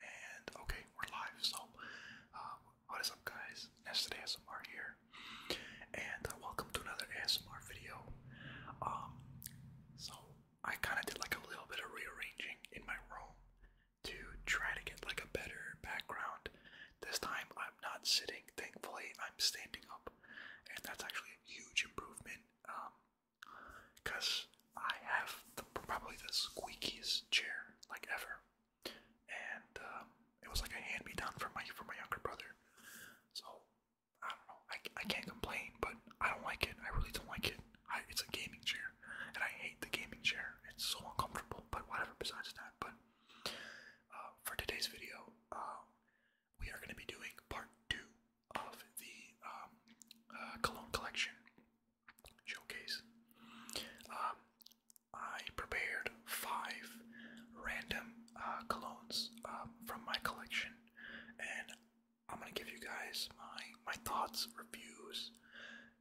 And okay, we're live. So, uh, what is up, guys? ASMR here, and uh, welcome to another ASMR video. Um, so I kind of did like a little bit of rearranging in my room to try to get like a better background. This time I'm not sitting. Thankfully, I'm standing up, and that's actually a huge improvement. Um, because I have probably the squeakiest chair like ever, and um, it was like a hand me down from my from my younger brother. So I don't know. I, I can't complain, but I don't like it. I really don't like it. it's a gaming chair, and I hate the gaming chair. It's so uncomfortable. But whatever. Besides that, but uh, for today's video, um, we are going to be doing part two of the um, uh, cologne collection showcase. Um, I prepared five random uh, colognes um, from my collection, and I'm gonna give you guys my my thoughts, reviews,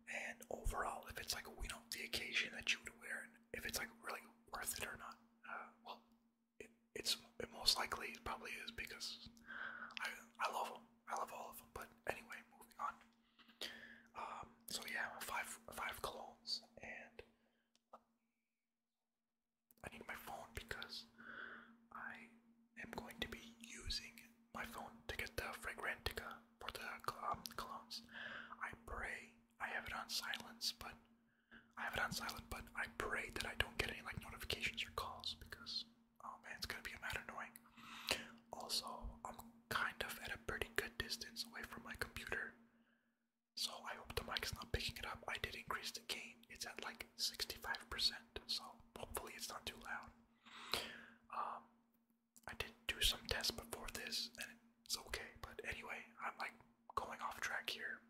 and overall if it's like you know the occasion that you would wear, and if it's like really worth it or not. Uh, well, it's it most likely probably is because I I love them. I love all of them. But anyway, moving on. Um, so yeah, five five colognes, and I need my phone because I am going to be using my phone to get the fragrantica for the um, colognes. I pray I have it on silence, but I have it on silent, but I pray that I don't get any like notifications or calls because Oh man, it's gonna be mad annoying. Also, I'm kind of at a pretty good distance away from my computer. So I hope the mic's not picking it up. I did increase the gain. It's at like 65%, so hopefully it's not too loud. Um I did do some tests before this and it's okay, but anyway, I'm like going off track here.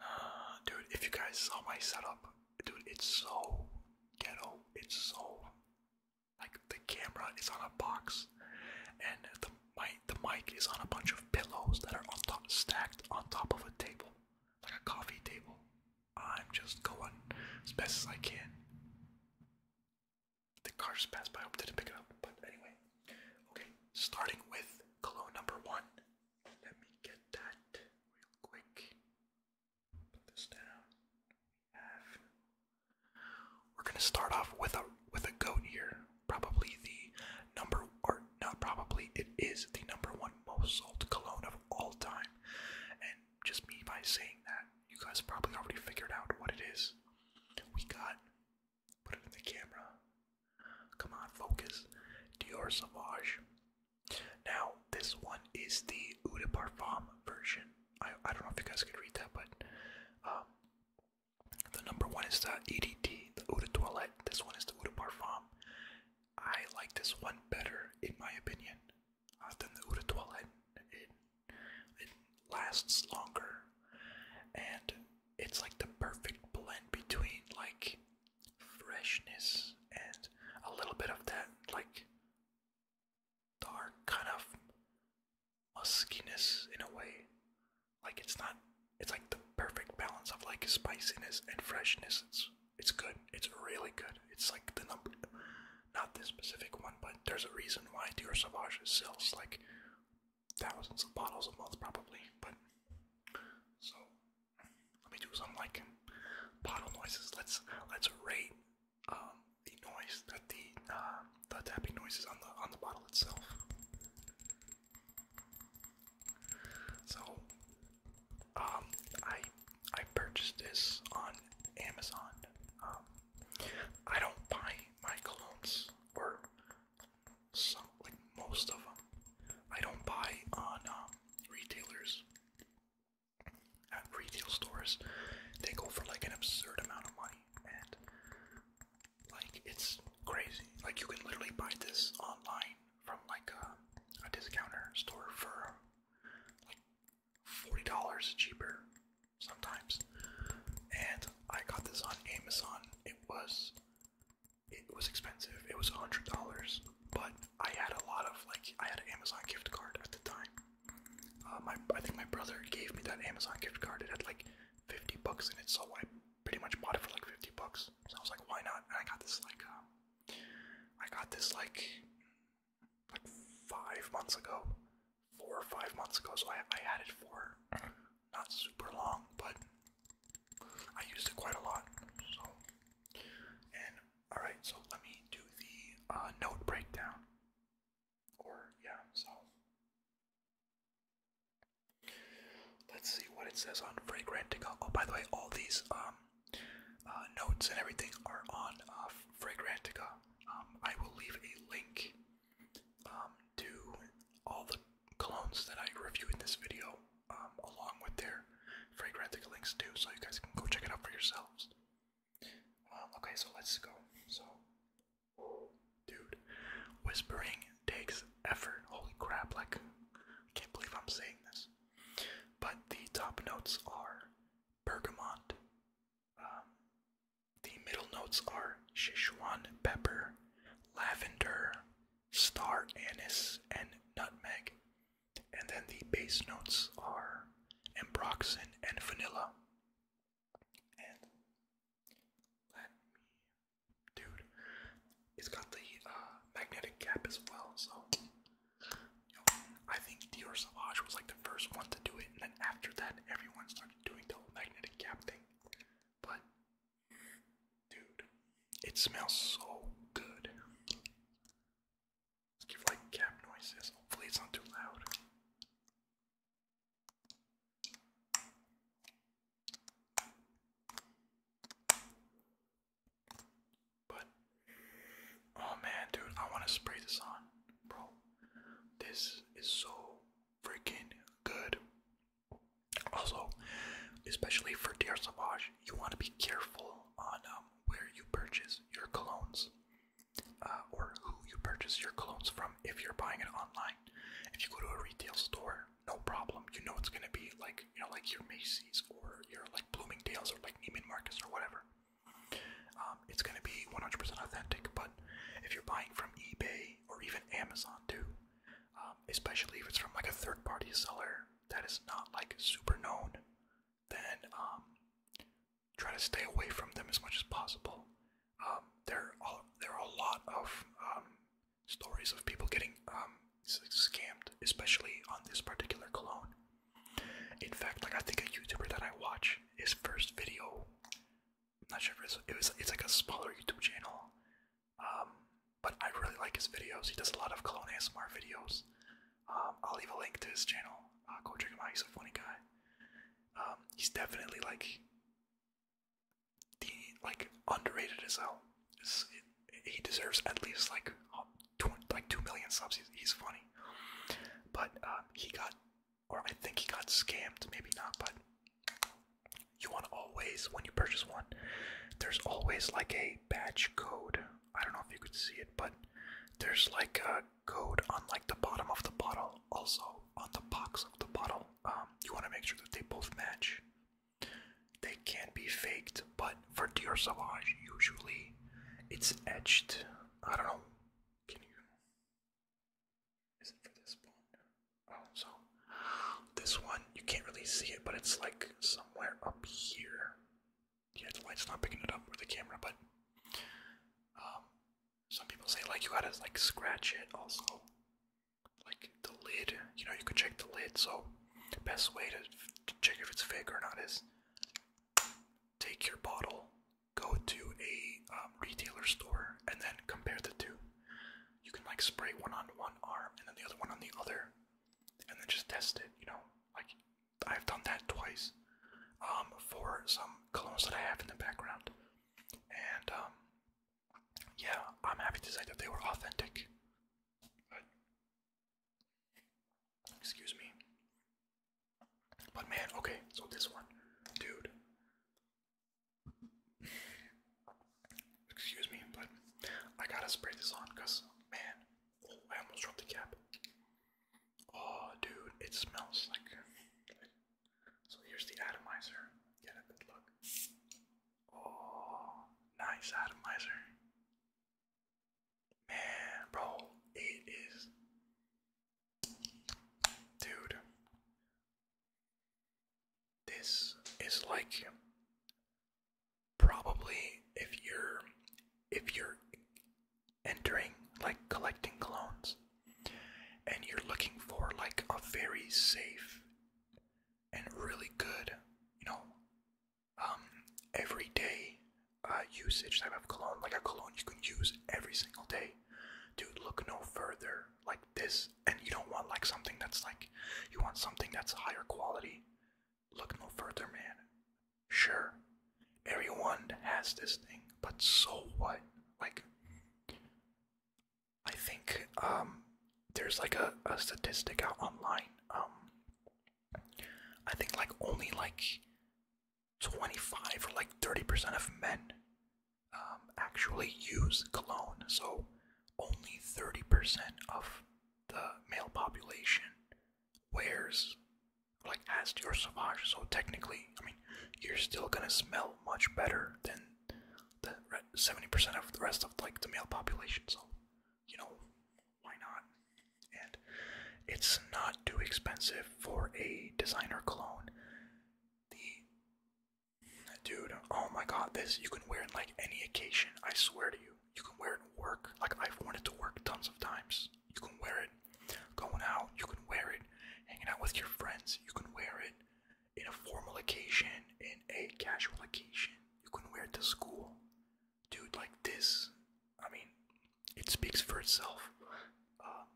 Uh, dude, if you guys saw my setup, dude, it's so ghetto. It's so like the camera is on a box, and the mic the mic is on a bunch of pillows that are on top stacked on top of a table, like a coffee table. I'm just going as best as I can. The car just passed by. I hope didn't pick it up, but anyway. Okay, starting with cologne number one. Let me get that real quick. We're gonna start off with a with a goat here. Probably the number or not probably it is the number one most sold cologne of all time. And just me by saying that, you guys probably already figured out what it is. We got put it in the camera. Come on, focus. Dior Sauvage now, this one is the Eau de Parfum version. I, I don't know if you guys could read that, but um, the number one is the EDT, the Eau de Toilette. This one is the Eau de Parfum. I like this one better, in my opinion, uh, than the Eau de Toilette. It, it lasts longer, and it's like the perfect blend between like freshness and a little bit of that like dark kind of muskiness in a way. Like it's not it's like the perfect balance of like spiciness and freshness. It's it's good. It's really good. It's like the number not this specific one, but there's a reason why Dior Sauvage sells like thousands of bottles a month probably, but so let me do some like bottle noises. Let's let's rate um, the noise that the uh, the tapping noises on the on the bottle itself. So um, I I purchased this on Amazon. Um, I don't buy my colognes or some like most of them. I don't buy on um, retailers at retail stores, they go for like an absurd amount of money, and like it's crazy. Like you can literally buy this online from like a, a discounter store for like forty dollars cheaper sometimes. And I got this on Amazon. It was it was expensive. It was a hundred dollars but I had a lot of like I had Amazon gift card at the time. Uh, my I think my brother gave me that Amazon gift card. It had like 50 bucks in it, so I pretty much bought it for like 50 bucks. So I was like, why not? And I got this like um, I got this like like five months ago, four or five months ago. So I I had it for not super long, but I used it quite a lot. So and Alright, so let me do the uh, note breakdown. Or, yeah, so. Let's see what it says on Fragrantica. Oh, by the way, all these um, uh, notes and everything are on uh, Fragrantica. Um, I will leave a link um, to all the colognes that I review in this video, um, along with their Fragrantica links too, so you guys can go check it out for yourselves. Um, okay, so let's go. So, dude, whispering takes effort. Holy crap, like, I can't believe I'm saying this. But the top notes are bergamot, um, the middle notes are Sichuan pepper, lavender, star anise, and nutmeg. And then the base notes are ambroxan and vanilla. And dude, it's got the uh, magnetic cap as well. So I think Dior Sauvage was like the first one to do it, and then after that, everyone started doing the whole magnetic cap thing. But dude, it smells so good. Let's give like cab noises. Hopefully it's not too loud. But oh man, dude, I want to spray this on, bro. This is so freaking good. Also, especially for Dear Savage, you want to be careful on um where you purchase your colognes, uh, or who you purchase your colognes from. If you're buying it online, if you go to a retail store, no problem. You know it's gonna be like you know like your Macy's or your like Bloomingdale's or like Neiman Marcus or whatever. Um, it's gonna be 100% authentic. But if you're buying from eBay or even Amazon too, um, especially if it's from like a third-party seller that is not like super known, then um, try to stay away from them as much as possible. Um, there are there are a lot of um, stories of people getting um, scammed, especially on this particular cologne. In fact, like I think a YouTuber that I watch, his first video, I'm not sure if it's, it was it's like a smaller YouTube channel, um, but I really like his videos. He does a lot of cologne ASMR videos. Um, I'll leave a link to his channel. Ah, go check him out. He's a funny guy. Um, he's definitely like the like underrated as hell. he deserves at least like two, like two million subs. He's, funny, but um, he got, or I think he got scammed. Maybe not, but you want to always when you purchase one, there's always like a batch code I don't know if you could see it, but there's like a code on like the bottom of the bottle, also on the box of the bottle. Um, you want to make sure that they both match. They can't be faked, but for Dior Sauvage, usually it's etched. I don't know. Can you? Is it for this one? Oh, so this one you can't really see it, but it's like somewhere up here yeah, the light's not picking it up with the camera, but um, some people say like you gotta like scratch it also, like the lid. You know, you can check the lid. So the best way to, check if it's fake or not is take your bottle, go to a um, retailer store, and then compare the two. You can like spray one on one arm and then the other one on the other, and then just test it. You know, like I've done that twice um, for some clones that I have in the background. And um, yeah, I'm happy to say that they were authentic. excuse me. But man, okay, so this one, dude. Excuse me, but I gotta spray this on because, man, I almost dropped the cap. Oh, dude, it smells like. So here's the atomizer. Get a good look. Oh, nice atomizer. Man, bro, it is. Dude, this is like probably if you're if you're entering, like collecting clones, and you're looking for like a very safe and really good, you know, um, everyday uh, usage type of cologne, like a cologne you can use every single day. Dude, look no further like this, and you don't want like something that's like, you want something that's higher quality. Look no further, man. Sure, everyone has this thing, but so what? Like, I think um, there's like a, a statistic out online. Um, I think like only like 25 or like 30% of men um, actually use cologne. So only 30% of the male population wears like as your sauvage. So technically, I mean, you're still gonna smell much better than the seventy percent of the rest of like the male population. So you know why not? And it's not too expensive for a designer cologne. The dude, oh my god, this you can wear in like any occasion. I swear to you, you can wear it in work. Like I've worn it to work tons of times you can wear it. Going out, you can wear it. Hanging out with your friends, you can wear it. In a formal occasion, in a casual occasion, you can wear it to school. Dude, like this, I mean, it speaks for itself. Uh,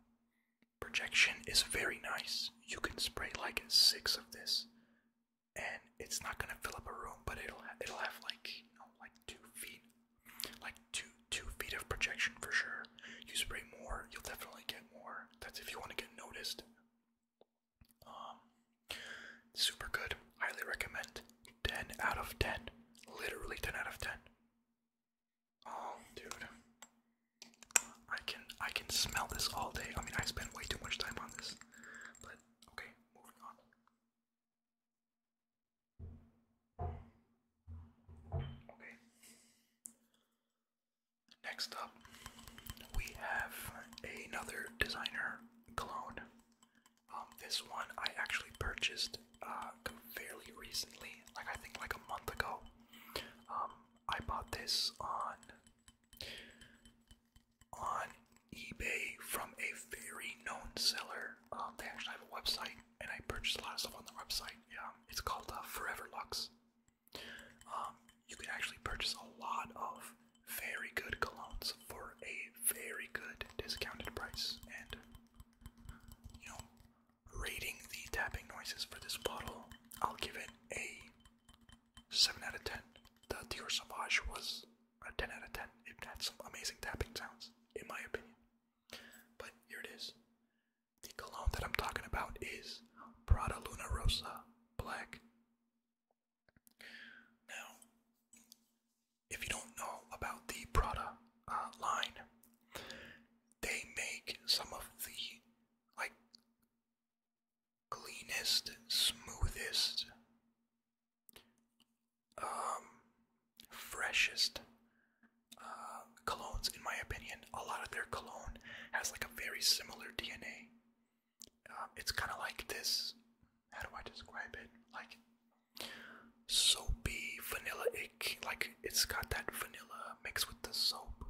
projection is very nice. You can spray like six of this, and it's not gonna fill up a room, but it'll it'll have like you know like two feet like two two feet of projection for sure. You spray more, you'll definitely get more. That's if you want to get noticed. Um, super good. Highly recommend. Ten out of ten. Literally ten out of ten. Oh, dude. I can I can smell this all day. I mean, I spend way too much time on this. But okay, moving on. Next up, we have another designer clone. Um, this one I actually purchased uh, fairly recently, like I think like a month ago. Um, I bought this on on eBay from a very known seller. Um, they actually have a website and I purchased a lot of stuff on the website. Yeah, it's called uh, Forever Lux. Um, you can actually purchase a lot of very good colognes for a very good discounted price. And you know, rating the tapping noises for this bottle, I'll give it a seven out of ten. The Dior Sauvage was a ten out of ten. It had some amazing tapping sounds, in my opinion. But here it is. The cologne that I'm talking about is Prada Luna Rosa Black. Now, if you don't know about the Prada uh, line, they make some of the like cleanest, smoothest um, freshest uh, colognes, in my opinion. A lot of their cologne has like a very similar DNA. Um, it's kind of like this. How do I describe it? Like soapy, vanilla ick. Like it's got that vanilla mixed with the soap.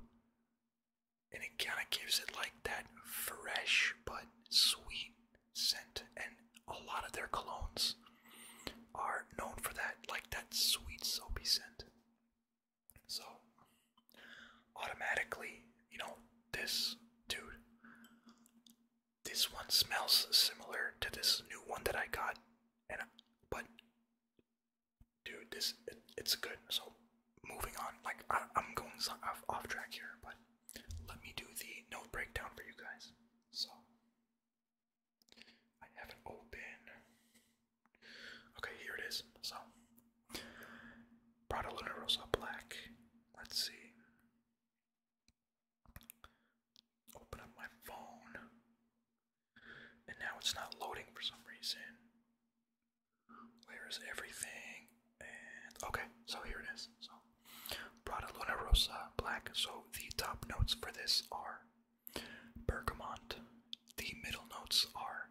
And it kind of gives it like that fresh but sweet scent. And a lot of their colognes are known for that, like that sweet soapy scent. So, automatically, you know, this dude, this one smells similar to this new one that I got, and but, dude, this it's good. So, moving on, like I, I'm going off, off track here, but let me do the note breakdown for you guys. So, I have it open. Okay, here it is. So, Prada Luna Rosa Black. Let's see. Open up my phone. And now it's not loading for some reason. Where is everything? And okay, so here it is. So, Prada Luna Rosa Black. So the top notes for this are bergamot. The middle notes are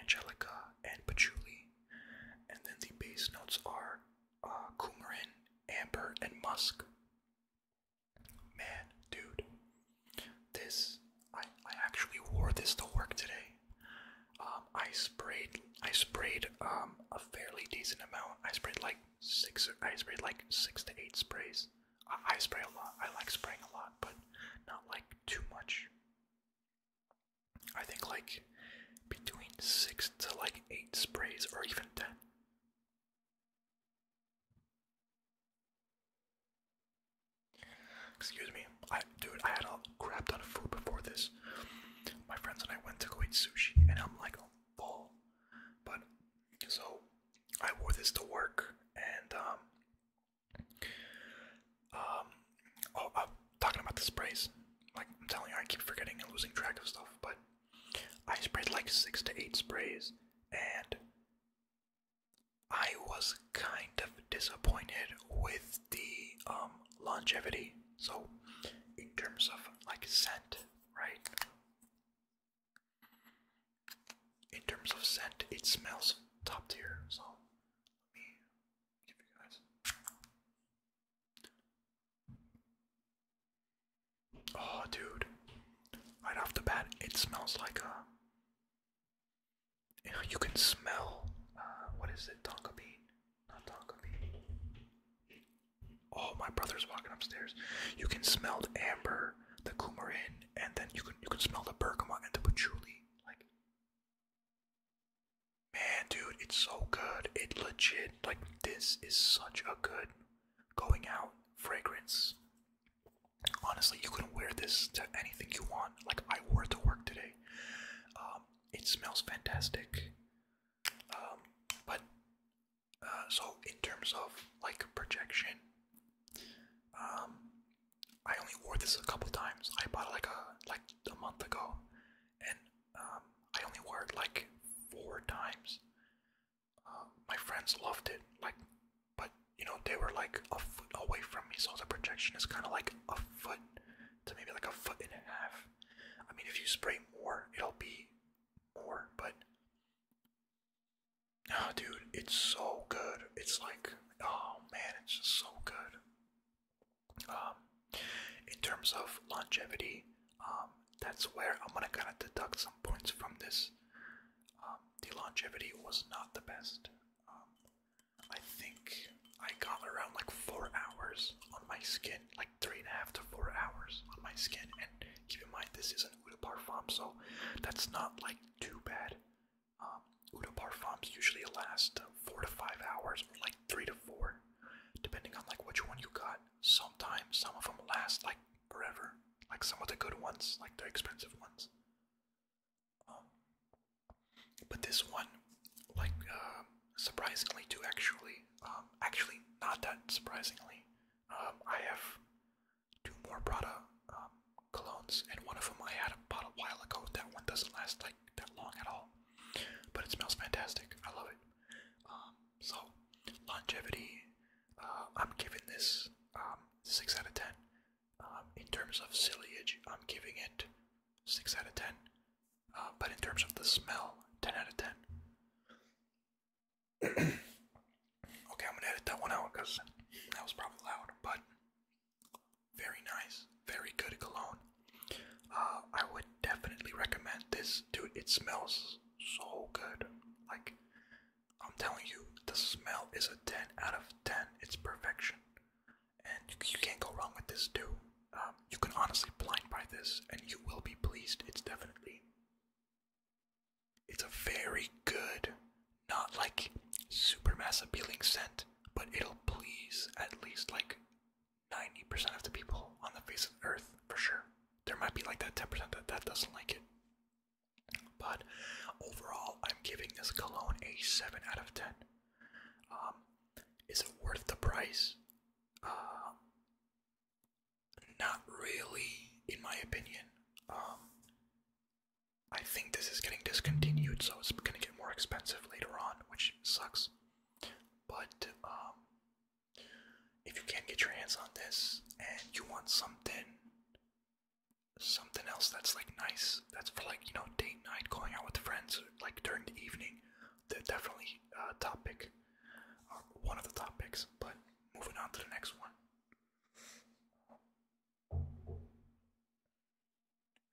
angelica and patchouli. And then the base notes are uh, coumarin, amber, and musk. Man, dude, this I I actually wore this to work today. Um, I sprayed I sprayed um a fairly decent amount. I sprayed like six I spray like six to eight sprays. I, spray a lot. I like spraying a lot, but not like too much. I think like between six to like eight sprays or even ten. Excuse me, I dude, I had a crap ton of food before this. My friends and I went to go eat sushi, and I'm like full, but so I wore this to work, and um, um, oh, talking about sprays. Like I'm telling you, I keep forgetting and losing track of stuff. But I sprayed like six to eight sprays, and I was kind of disappointed with the um longevity. So in terms of like scent, right? in terms of scent, it smells top tier. So let me give you guys. Oh, dude! Right off the bat, it smells like a. Uh, you can smell. Uh, what is it? Tonka bean? Not tonka bean. Oh, my brother's walking upstairs. You can smell the amber, the coumarin, and then you can you can smell the bergamot and the patchouli. Like, man, dude, it's so good. It legit like this is such a good going out fragrance. Honestly, you can wear this to anything you want. Like I wore it to work today. Um, it smells fantastic. Um, but uh, so in terms of like projection, um, I only wore this a couple times. I bought it like a like a month ago, and um, I only wore it like four times. Uh, my friends loved it, like, but you know they were like a foot away from me, so the projection is kind of like a foot to maybe like a foot and a half. I mean, if you spray more, it'll be more, but dude, it's so good. It's like, oh man, it's just so good. Um, in terms of longevity, um, that's where I'm gonna kind of deduct some points from this. Um, the longevity was not the best. Um, I think I got around like four hours on my skin, like three and a half to four hours on my skin. And keep in mind, this is not than Parfum, so that's not like too bad. Um, Parfums usually last four to five hours, or like three to four, depending on like which one you got. Sometimes some of them last like forever, like some of the good ones, like the expensive ones. Um, but this one, like uh, surprisingly, too actually, um, actually not that surprisingly, um, I have two more Prada um, colognes, and one of them I had about a while ago. That one doesn't last like that long at all, but it smells fantastic. I love it. Um, so longevity, uh, I'm giving this um, six out of ten. Um, in terms of sillage, I'm giving it six out of ten. Uh, but in terms of the smell, ten out of ten. okay, I'm gonna edit that one out because that was probably loud, but very nice, very good cologne. Uh, I would definitely recommend this, dude. It smells so good. Like, I'm telling you, the smell is a 10 out of 10. It's perfection. And you, can't go wrong with this, dude. Um, you can honestly blind buy this and you will be pleased. It's definitely it's a very good, not like supermassive appealing scent, but it'll please at least like 90% of the people on the face of earth for sure. There might be like that 10% that, that doesn't like it. But overall, I'm giving this cologne a 7 out of 10. Um, is it worth the price? Um, not really, in my opinion. Um, I think this is getting discontinued, so it's gonna get more expensive later on, which sucks. But um, if you can't get your hands on this and you want something, something else that's like nice, that's for like you know date night, going out with friends, like during the evening, that definitely uh, top pick, uh, one of the top picks. But moving on to the next one.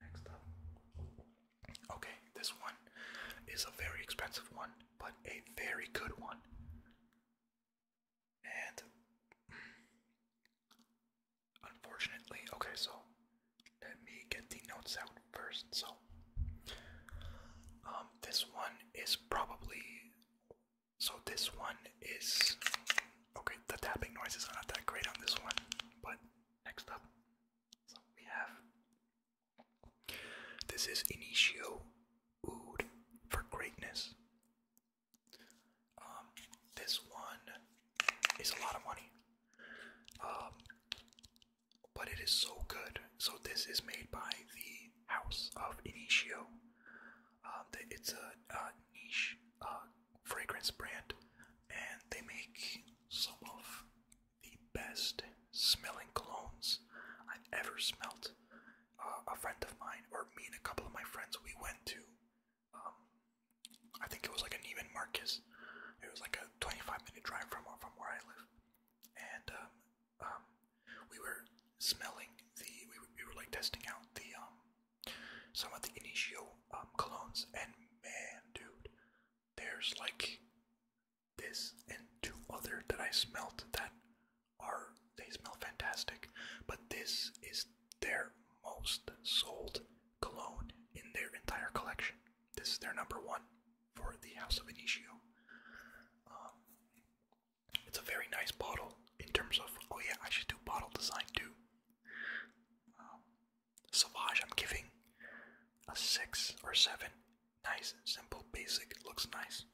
Next up. Okay, this one is a very expensive one, but a very good one. And mm, unfortunately, okay, so let me get the notes out first. So, um, this one is probably so this one is okay. The tapping noises are not that great on this one, but next up, we have this is Initio Oud for Greatness. Um, this one is a lot of money. Um, but it is so good. So this is made by the House of Initio. Um, it's a, niche uh, fragrance brand, and they make some of the best smelling colognes I've ever smelt. Uh, a friend of mine, or me and a couple of my friends, we went to. Um, I think it was like a Neiman Marcus. It was like a 25 minute drive from from where I live, and um, um, we were smelling the we we were like testing out the um some of the initio um colognes and man dude there's like this and two other that I smelt that are they smell fantastic but this is their most sold cologne in their entire collection. This is their number one for the House of Initio. Um, it's a very nice bottle in terms of. Oh, yeah, I should do bottle design too. Um, Savage, I'm giving a 6 or 7. Nice, simple, basic, looks nice.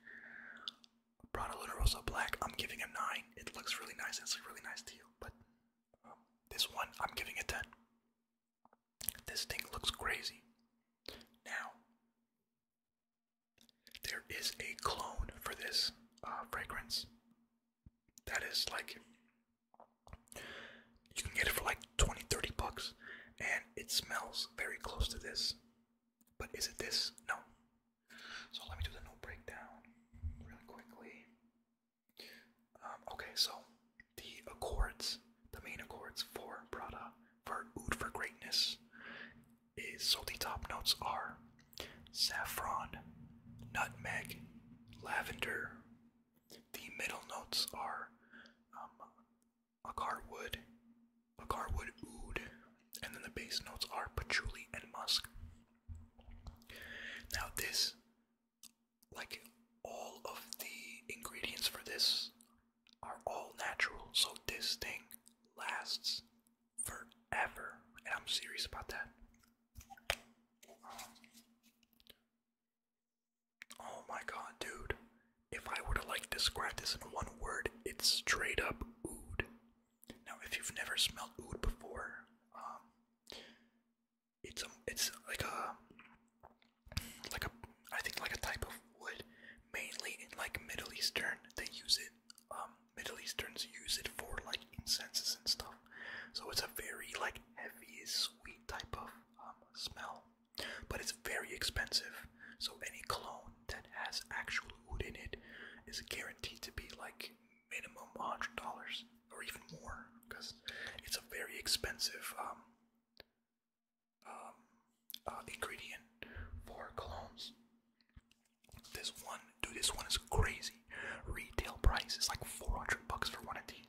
Prada Luna Black, I'm giving a 9. It looks really nice, it's a really nice deal. But um, this one, I'm giving a 10. This thing looks crazy. Now, there is a clone for this uh, fragrance that is like you can get it for like 20 30 bucks and it smells very close to this but is it this no so let me do the note breakdown really quickly um, okay so the accords the main accords for prada for oud for greatness is salty top notes are saffron, nutmeg, lavender. The middle notes are um, agar oud, and then the base notes are patchouli and musk. Now this, like all of the ingredients for this, are all natural, so this thing lasts forever, and I'm serious about that. Um, oh my god, dude. If I were to like describe this in one word, it's straight up oud. Now, if you've never smelled oud before, um, it's a, it's like a, like a, I think like a type of wood, mainly in like Middle Eastern. They use it um, Middle Easterns use it for like incenses and stuff. So it's a very like heavy, sweet type of um, smell, but it's very expensive. So any cologne that has actual wood in it is guaranteed to be like minimum hundred dollars or even more, because it's a very expensive um, uh, ingredient for colognes. This one, dude, this one is crazy. Retail price is like 400 bucks for one of these,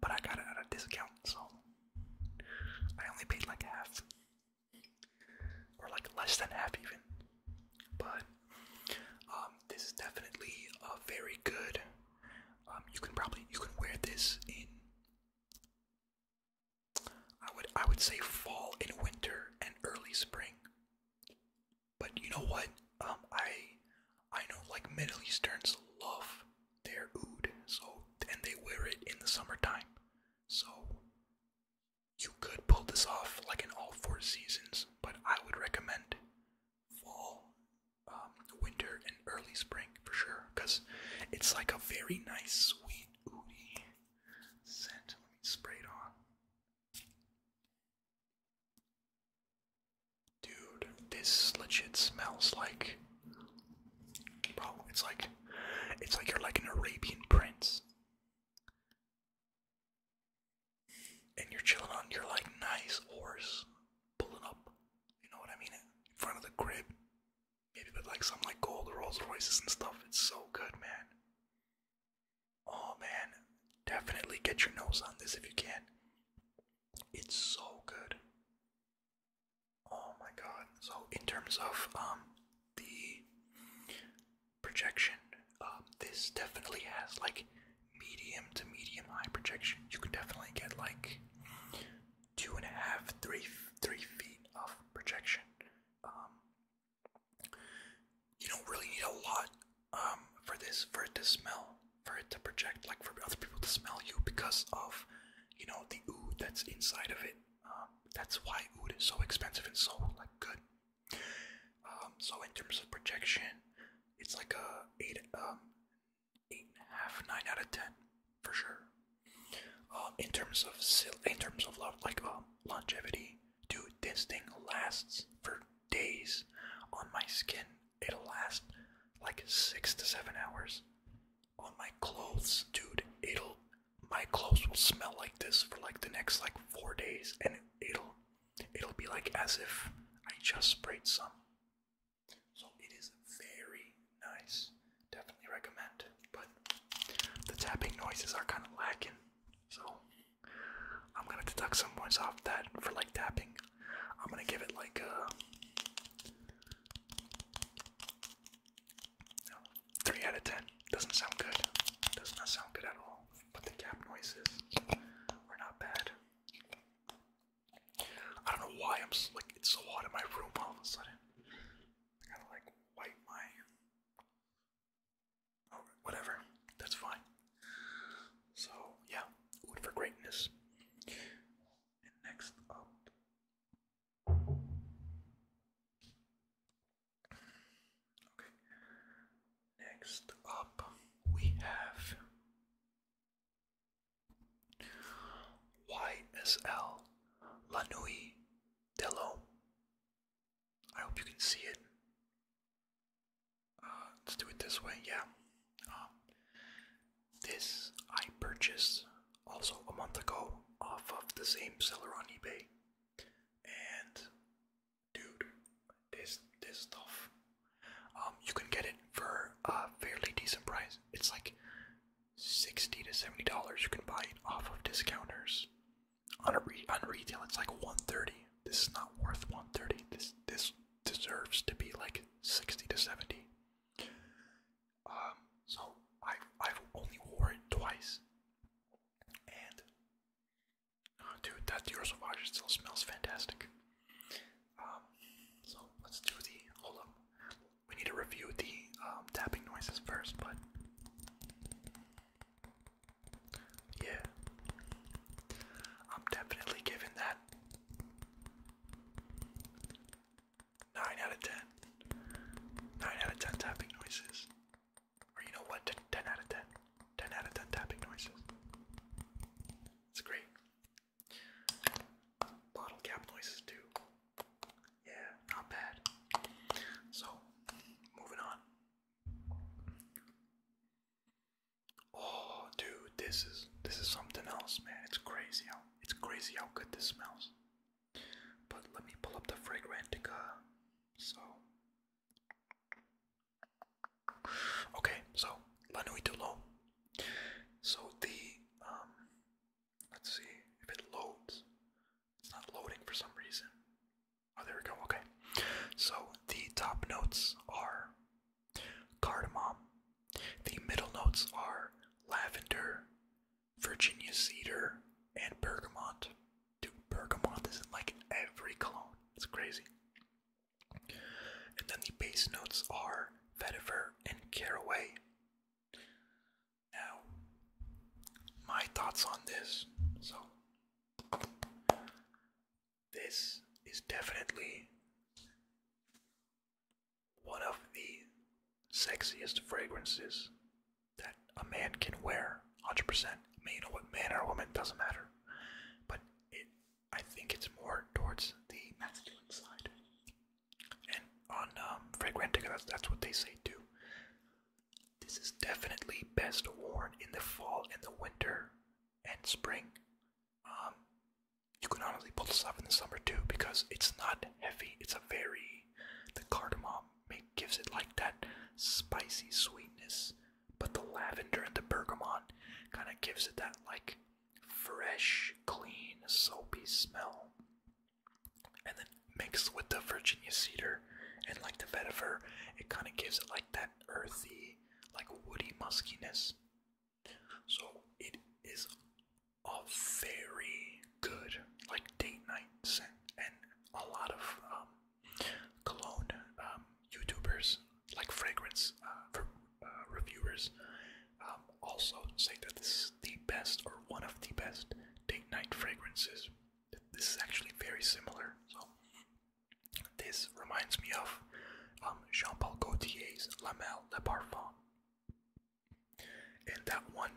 but I got it at a discount, so I only paid like half, or like less than half even. But um, this is definitely a very good. Um, you can probably you can wear this in I would I would say fall and winter and early spring. But you know what? Um, I I know like Middle Easterns love their oud, so and they wear it in the summertime. So you could pull this off like in all four seasons, but I would recommend fall, um, winter, and early spring for sure, because it's like a very nice, sweet, ooty let me spray it on. Dude, this legit smells like bro, it's like it's like you're like an Arabian prince. And you're chilling on your like nice horse pulling up, you know what I mean, in front of the crib. Maybe with like some like gold Rolls Royces and stuff. It's so good, man. Oh man, definitely get your nose on this if you can. It's so good. Oh my god. So in terms of um the projection, um this definitely has like medium to medium high projection. You can definitely get like two and a half, three, three feet of projection. Um, you don't really need a lot um, for this, for it to smell, for it to project, like for other people to smell you because of, you know, the oud that's inside of it. Um, that's why oud is so expensive and so like good. Um, so in terms of projection, it's like a eight, um, eight and a half, nine out of ten for sure. in terms of in terms of love, like um, longevity. Dude, this thing lasts for days on my skin. It'll last like six to seven hours. On my clothes, dude, it'll my clothes will smell like this for like the next like four days, and it'll it'll be like as if I just sprayed some. So it is very nice. Definitely recommend. But the tapping noises are kind of lacking. So I'm gonna deduct some points off that for like tapping. I'm gonna give it like a uh, three out of ten. Doesn't sound good. Does not sound good at all. But the tap noises are not bad. I don't know why I'm like it's so hot in my room all of a sudden. I gotta like wipe my or whatever. That's fine. So yeah, Wood for Greatness. next up. Okay. Next up, we have YSL La Nuit I hope you can see it. Uh, let's do it this way, yeah. Um, this I purchased also a month ago off of the same seller on eBay. And dude, this this stuff. Um, you can get it for a fairly decent price. It's like sixty to seventy dollars. You can buy it off of discounters on a re on retail it's like 130 this is not worth 130 this this deserves to be like 60 to 70 um so i I've only wore it twice and oh, dude that Dior Sauvage still smells fantastic um so let's do the hold up we need to review the um, tapping noises first but yeah. I'm definitely giving that 9 out of 10. 9 out of 10 tapping noises. Or you know what? 10, out of 10. 10 out of 10 tapping noises. It's great. Bottle cap noises too. Yeah, not bad. So, moving on. Oh, dude, this is this is something else, man. It's crazy how it's crazy how good this smells. But let me pull up the Fragrantica. So, okay, so La So the um, let's see if it loads. It's not loading for some reason. Oh, there we go. Okay. So the top notes are cardamom. The middle notes are lavender, Virginia cedar, and bergamot. Dude, bergamot is in like every cologne. It's crazy. And then the base notes are vetiver and caraway. Now, my thoughts on this. So, this is definitely one of the sexiest fragrances that a man can wear 100% I what man or woman doesn't matter but it i think it's more towards the masculine side and on um fragrantica that's what they say too this is definitely best worn in the fall and the winter and spring. Um, you can honestly pull this off in the summer too because it's not heavy. It's a very the cardamom gives it like that spicy sweetness, but the lavender and the bergamot kind of gives it that like fresh, clean, soapy smell and then mixed with the Virginia cedar and like the vetiver, it kind of gives it like that earthy, like woody muskiness. So it is a very good like date night scent, and a lot of um, cologne um, YouTubers like fragrance uh, uh reviewers um, also say that this is the best or one of the best date night fragrances this is actually very similar. So this reminds me of um, Jean-Paul Gaultier's La Le Parfum. And that one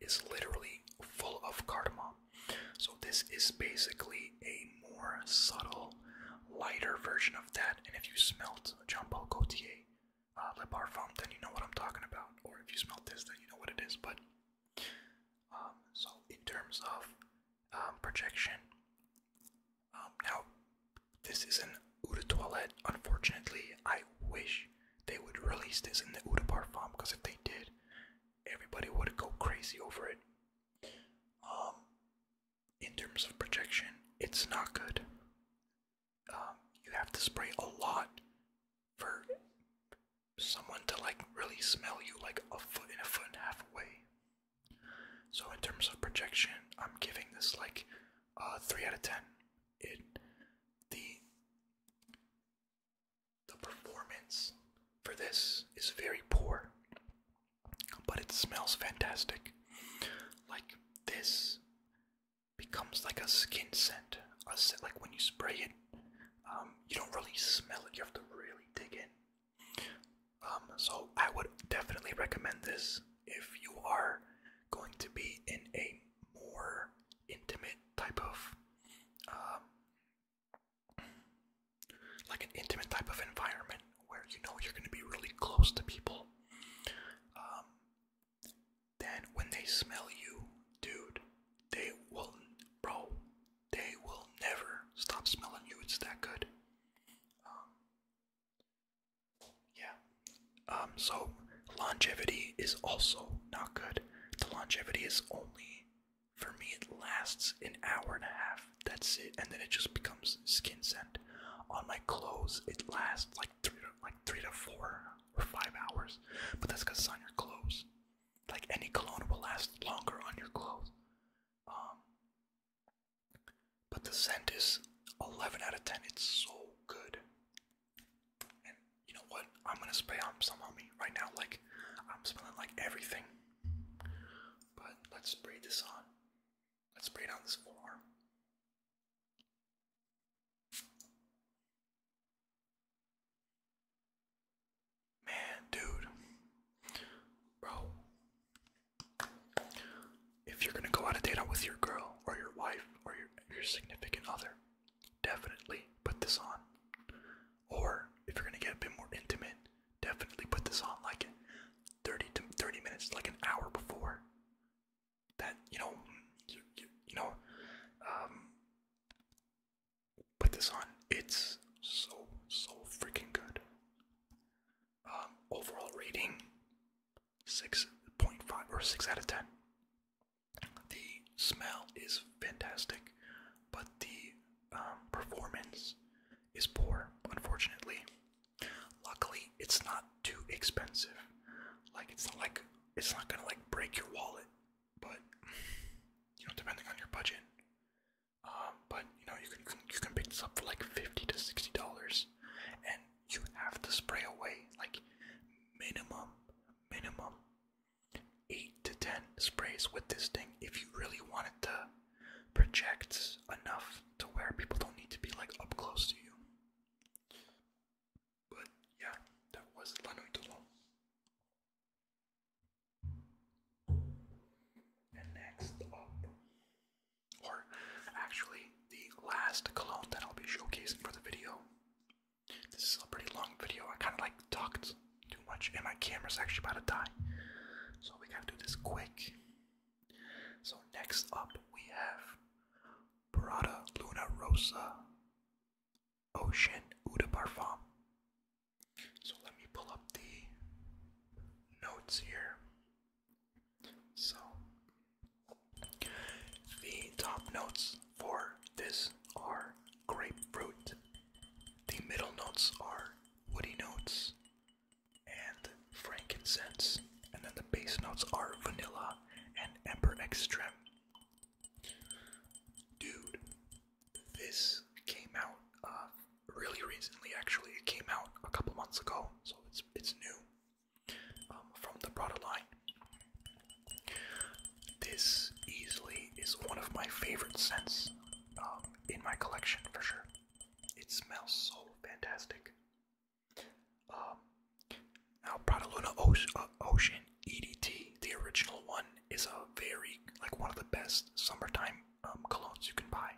is literally full of cardamom. So this is basically a more subtle, lighter version of that. And if you smelt Jean-Paul Gaultier uh, Le Parfum, then you know what I'm talking about. Or if you smelt this, then you know what it is. But um, so in terms of um, projection, um, now this is an eau de Unfortunately, I wish they would release this in the eau parfum because if they did, everybody would go crazy over it. in terms of projection, it's not good. you have to spray a lot for someone to like really smell you like a foot and a foot and a half away. So in terms of projection, I'm giving this like three out of ten. It the the performance for this is very poor, but it smells fantastic. Like this becomes like a skin scent, a scent like when you spray it, um, you don't really smell it, you have to really dig in. Um, so I would definitely recommend this if you are going to be in a more intimate type of um, like an intimate type of environment where you know you're going to be really close to people then when they smell you, dude, they will, bro, they will never stop smelling you. It's that good. Um, yeah. Um, so longevity is also not good. The longevity is only, for me, it lasts an hour and a half. That's it, and then it just becomes skin scent. On my clothes, it lasts like three, to, like three to four or five hours, but that's because it's on your clothes like any cologne will last longer on your clothes. Um, but the scent is 11 out of 10. It's so good. And you know what? I'm gonna spray some on me right now. Like I'm smelling like everything. But let's spray this on. Let's spray it on this forearm. Man, dude. Bro. If you're gonna go out a date out with your girl or your wife or your your significant other, definitely put this on. Or if you're gonna get a bit more intimate, definitely put this on like 30 to 30 minutes, like an hour before. That you know, you, you know, um, put this on. It's so so freaking good. Um, overall rating six point five or six out of ten. The smell is fantastic, but the um, performance is poor, unfortunately. Luckily, it's not too expensive. Like it's not like it's not gonna like break your wallet but you know, depending on your budget. Um, but you know, you can you can pick this up for like fifty to sixty dollars, and you have to spray away like minimum, minimum eight to ten sprays with this thing if you really want it to project enough to where people don't need to be like up close to you. But yeah, that was La and next up, or actually the last cologne that I'll be showcasing for the video. This is a pretty long video. I kind of like talked too much, and my camera's actually about to die. So we gotta do this quick. So next up we have Prada Luna Rosa Ocean Eau de Parfum. So let me pull up the notes here. So the top notes for this are grapefruit. The middle notes are woody notes and frankincense. And then the base notes are vanilla and amber extract. Dude, this came out uh, really recently. Actually, it came out a couple months ago, so it's it's new um, from the product line. This easily is one of my favorite scents um, in my collection for sure. It smells so fantastic. Um, now, Prada Luna uh, Ocean EDT, the original one, is a very, like, one of the best summertime um, colognes you can buy.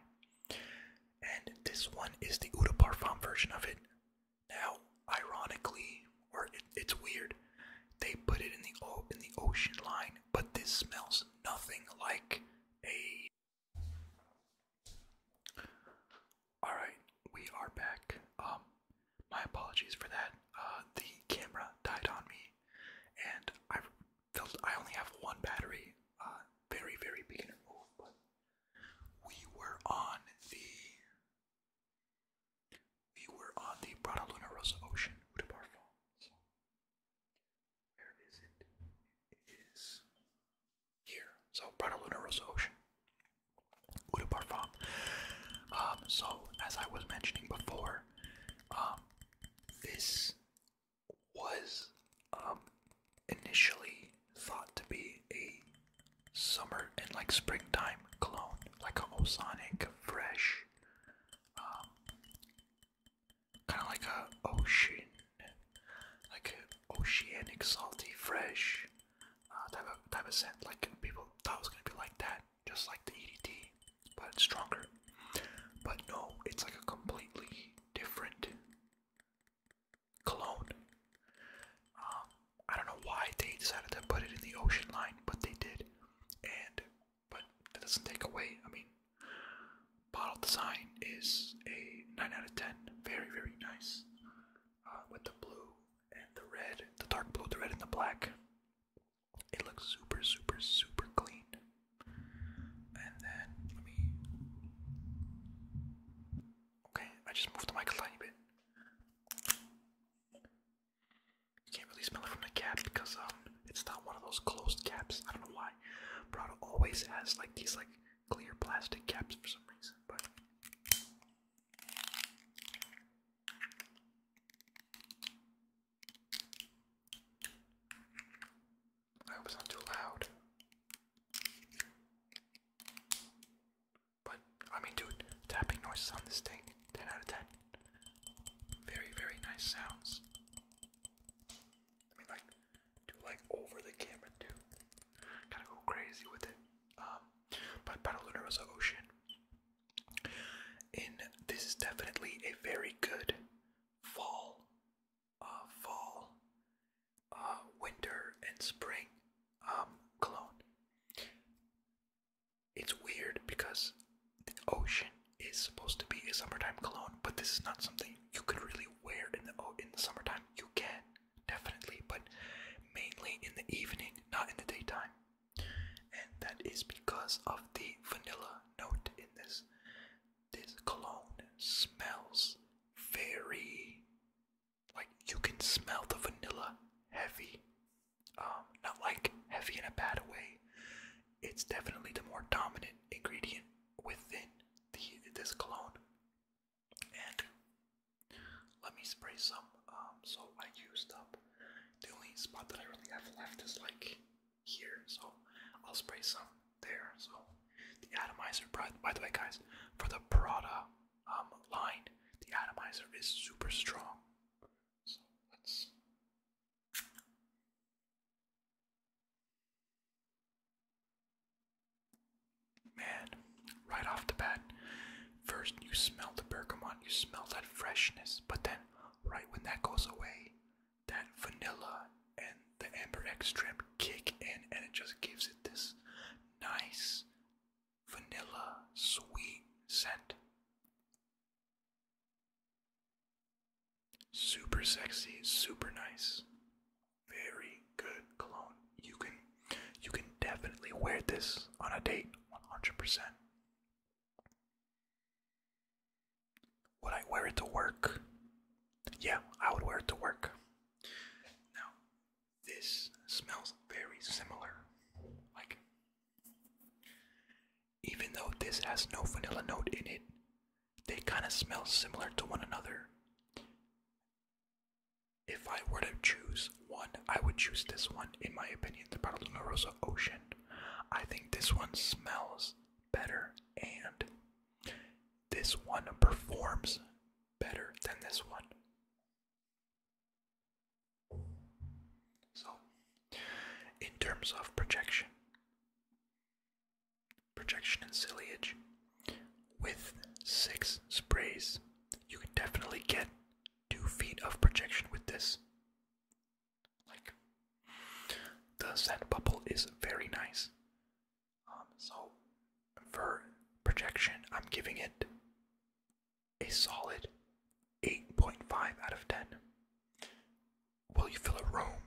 And this one is the Eau de Parfum version of it. Now, ironically, or it's weird, they put it in the in the ocean line, but this smells nothing like a. All right, we are back. Um, my apologies for that. Uh, the camera died on me, and I felt I only have one battery. Uh, very, very beginner move, but we were on the we were on the Prada Luna Rosa Ocean Uta where is it? It is here. So Prada Luna Rosa Ocean. Uta Um, so as I was mentioning before, um, this was um, initially thought to be a summer and like springtime clone, like a Osonic Fresh, um, kind of like a ocean, like a oceanic salty fresh uh, type of type of scent. Like people thought it was gonna be like that, just like the EDT, but it's stronger. But no, it's like a completely different clone. Um, I don't know why they decided to put it in the ocean line, but they did. And but that doesn't take away. I mean, bottle design is a nine out of ten. Very very nice uh, with the blue and the red, the dark blue, the red, and the black. It looks super, super, super clean. And then Okay, I just moved the mic a tiny bit. You can't really smell it from the cap because um, it's not one of those closed caps. I don't know why. Prado always has like these like clear plastic caps for some reason, but I hope it's not too loud. But, I mean, dude, tapping noises on this thing, 10 out of 10. Very, very nice sounds. I mean, like, do like over the camera, too. Gotta go crazy with it. Um, but Battle Luna was Ocean. And this is definitely a very good fall, uh, fall, uh, winter, and spring um, cologne. It's weird because the ocean is supposed to be a summertime cologne, but this is not something you could really wear in the in the summertime. You can definitely, but mainly in the evening, not in the daytime and that is because of the vanilla note in this. This cologne smells very like you can smell the vanilla heavy. Um, not like heavy in a bad way. It's definitely the more dominant ingredient within the this cologne. And let me spray some. Um, so I used up the only spot that I really have left is like here, so I'll spray some there. So the atomizer, by the way, guys, for the Prada um, line, the atomizer is super strong. So let's. Man, right off the bat, first you smell the bergamot, you smell that freshness, but then right when that goes away, that vanilla and the amber extract kick in and it just gives it this nice vanilla sweet scent. Super sexy, super nice. Very good cologne. You can you can definitely wear this on a date 100%. Would I wear it to work? Yeah, I would wear it to work. Now, this smells very similar. Like, even though this has no vanilla note in it, they kind of smell similar to one another. If I were to choose one, I would choose this one, in my opinion, the Paraluna Rosa Ocean. I think this one smells better and this one performs better than this one. So, in terms of projection, projection and ciliage, with six sprays, you can definitely get two feet of projection with this. Like the sand bubble is very nice. Um, so for projection, I'm giving it a solid 8.5 out of 10. Will you fill a room?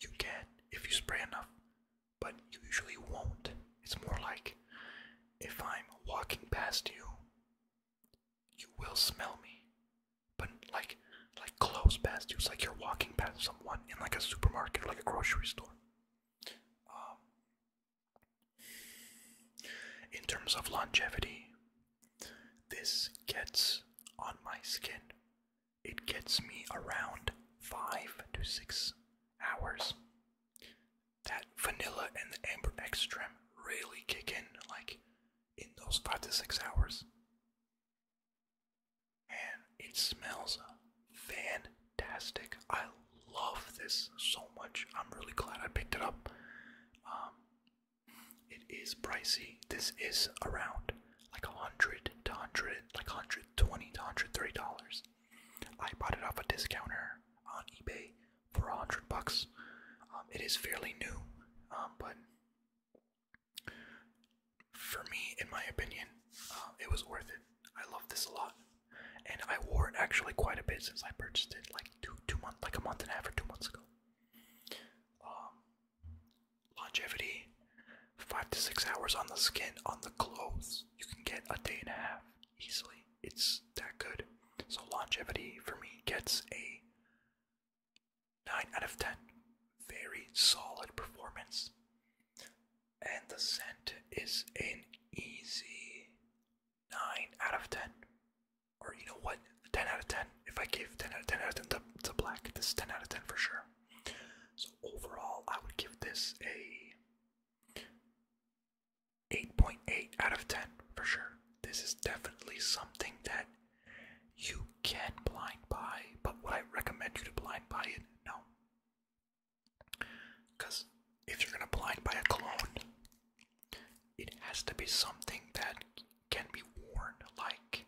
You can if you spray enough, but you usually won't. It's more like if I'm walking past you you will smell me, but like like close past you. like you're walking past someone in like a supermarket like a grocery store. Um, in terms of longevity, this gets on my skin. It gets me around five to six hours. That vanilla and the amber extract really kick in. Like in those five to six hours. And it smells fantastic. I love this so much. I'm really glad I picked it up. Um, it is pricey. This is around like a hundred to hundred, like hundred twenty to hundred thirty dollars. I bought it off a discounter on eBay for a hundred bucks. Um, it is fairly new, um, but for me, in my opinion, uh, it was worth it. I love this a lot, and I wore it actually quite a bit since I purchased it, like two two months, like a month and a half or two months ago. Um, longevity, five to six hours on the skin, on the clothes. You can get a day and a half easily. It's that good. So longevity for me gets a 9 out of 10. Very solid performance. And the scent is an easy 9 out of 10. Or you know what? 10 out of 10. If I give 10 out of 10 out of 10 to, to black, this is 10 out of 10 for sure. So overall, I would give this a 8.8 out of 10 for sure. This is definitely something that you can blind buy, but would I recommend you to blind buy it? No. Because if you're going to blind buy a clone, it has to be something that can be worn like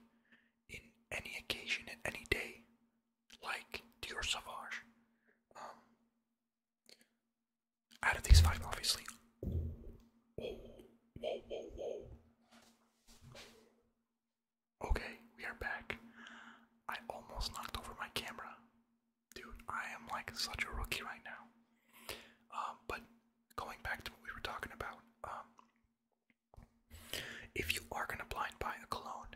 in any occasion, in any day, like Dior Sauvage. Um, out of these five, obviously, Okay, we are back. I almost knocked over my camera. Dude, I am like such a rookie right now. Um, but going back to what we were talking about, um, if you are gonna blind buy a cologne,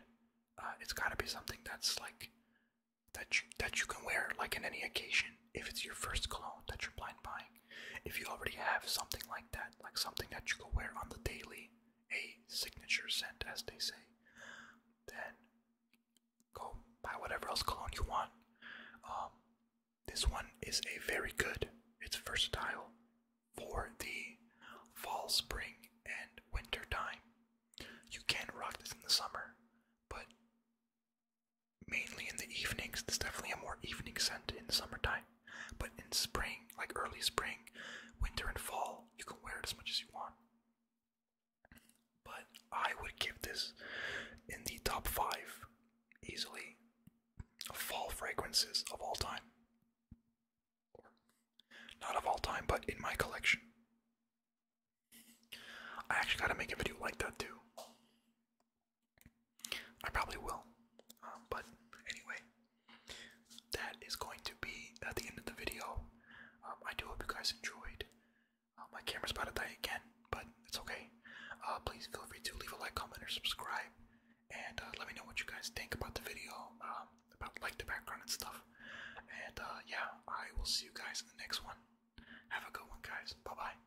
uh, it's gotta be something that's like that that you can wear like in any occasion if it's your first cologne that you're blind buying, if you already have something like that, like something that you can wear on the daily, a signature scent, as they say, then go buy whatever else cologne you want. Um, this one is a very good, it's versatile for the fall, spring, and winter time. You can rock this in the summer, but mainly in the evenings. There's definitely a more evening scent in summertime, but in spring, like early spring, winter, and fall, you can wear it as much as you want. But I would give this in the top five easily of fall fragrances of all time. Or not of all time, but in my collection. I actually gotta make a video like that too. I probably will. Um, but anyway, that is going to be at uh, the end of the video. Um, I do hope you guys enjoyed. Uh, my camera's about to die again, but it's okay. Uh, please feel free to leave a like, comment, or subscribe, and let me know what you guys think about the video, um, about like the background and stuff. And yeah, I will see you guys in the next one. Have a good one, guys. Bye bye.